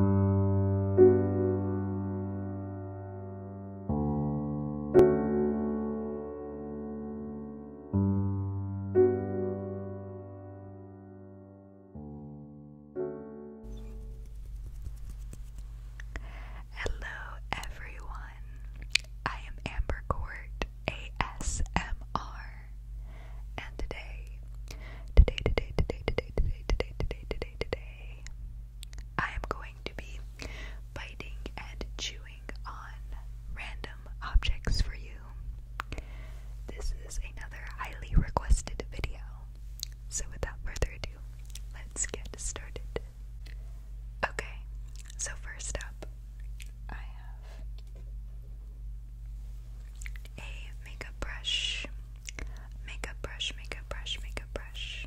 Hello everyone. I am Amber Court ASMR and today, today, today, today, today, today, today, today, today, today, I am going to be biting and chewing on random objects for you. This is another highly requested video. So, without further ado, let's get started. Okay, so first up, I have a makeup brush. Makeup brush, makeup brush, makeup brush.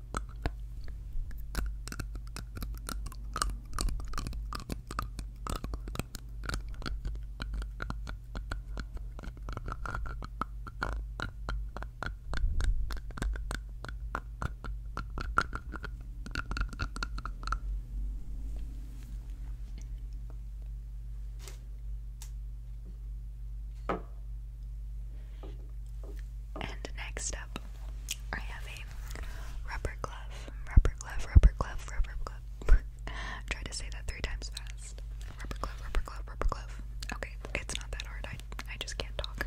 And next up, I have a rubber glove, rubber glove, rubber glove, rubber glove. Try to say that three times fast. Rubber glove, rubber glove, rubber glove. Okay, it's not that hard. I I just can't talk.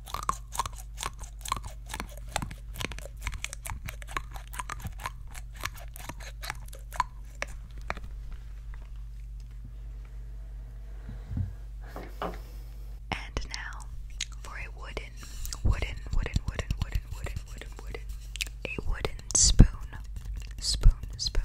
And now for a wooden, wooden, wooden, wooden, wooden, wooden, wooden, wooden, a wooden spoon, spoon, spoon.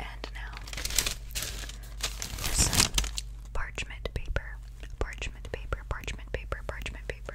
And now parchment paper. Parchment paper, parchment paper, parchment paper.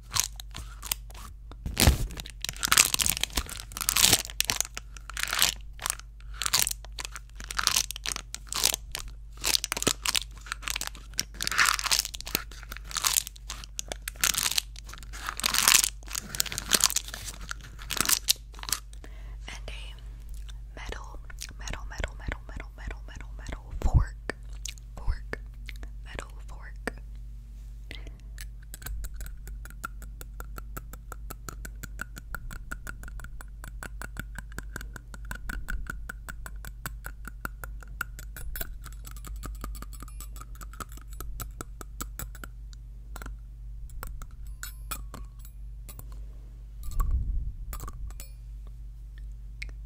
And a metal, metal, metal, metal, metal, metal, metal, metal, fork, fork, metal, fork.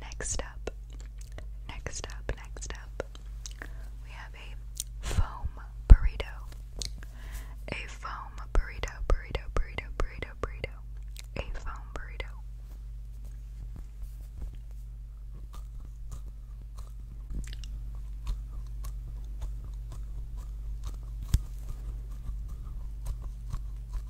Next up, next up, next up, we have a foam burrito. A foam burrito, burrito, burrito, burrito, burrito. A foam burrito.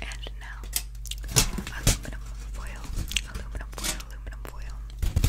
And now, aluminum foil, aluminum foil, aluminum foil.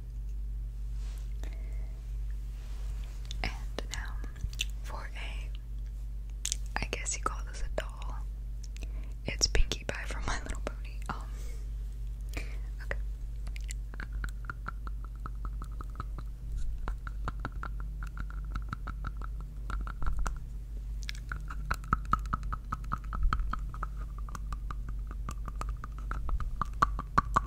And now for a I guess you call this a doll. It's Pinkie Pie from My Little Pony. Um Okay.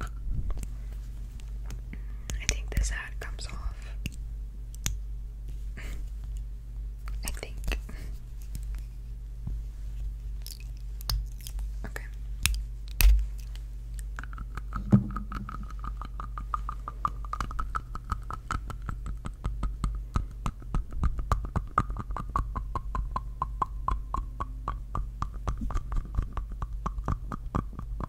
I think this hat comes off. I think. Okay.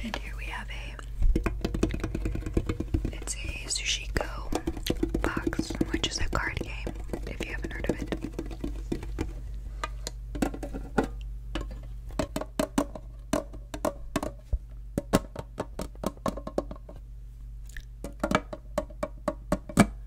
And here we have a it's a Sushiko box, which is a card game, if you haven't heard of it.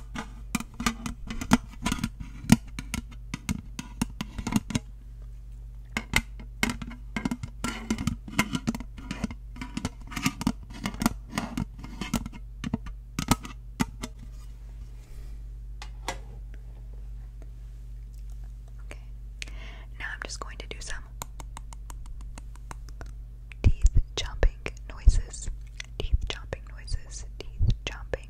Okay. Now I'm just going to do some teeth chomping noises, teeth chomping noises, teeth chomping.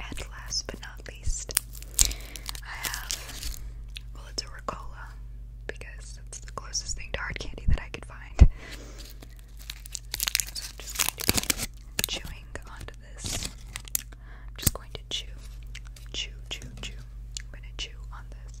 And last but not least, I have well, it's a Ricola because it's the closest thing to hard candy that I could find. So I'm just chewing on I'm just going to chew, chew, chew, chew. I'm going to chew on this.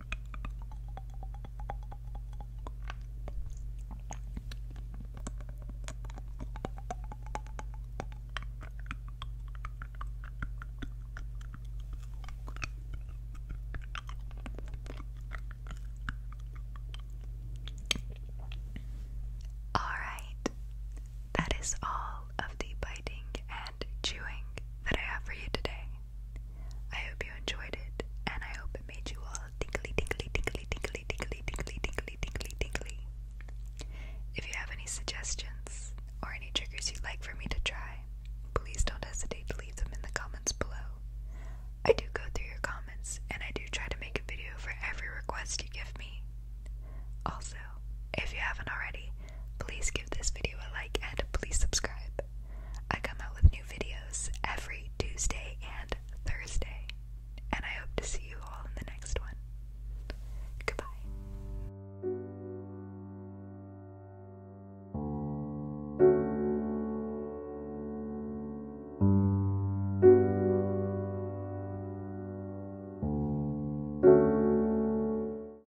All right, that is all of the biting and chewing that I have for you today. I hope you enjoyed it, and I hope it made you all tingly, tingly, tingly, tingly, tingly, tingly, tingly, tingly, tingly. If you have any suggestions or any triggers you'd like for me to try, please don't hesitate to leave them in the comments below. I do go through your comments, and I do try to make a video for every request you give me. Also, if you haven't already, Please give this video a like and please subscribe. I come out with new videos every Tuesday and Thursday, and I hope to see you all in the next one. Goodbye.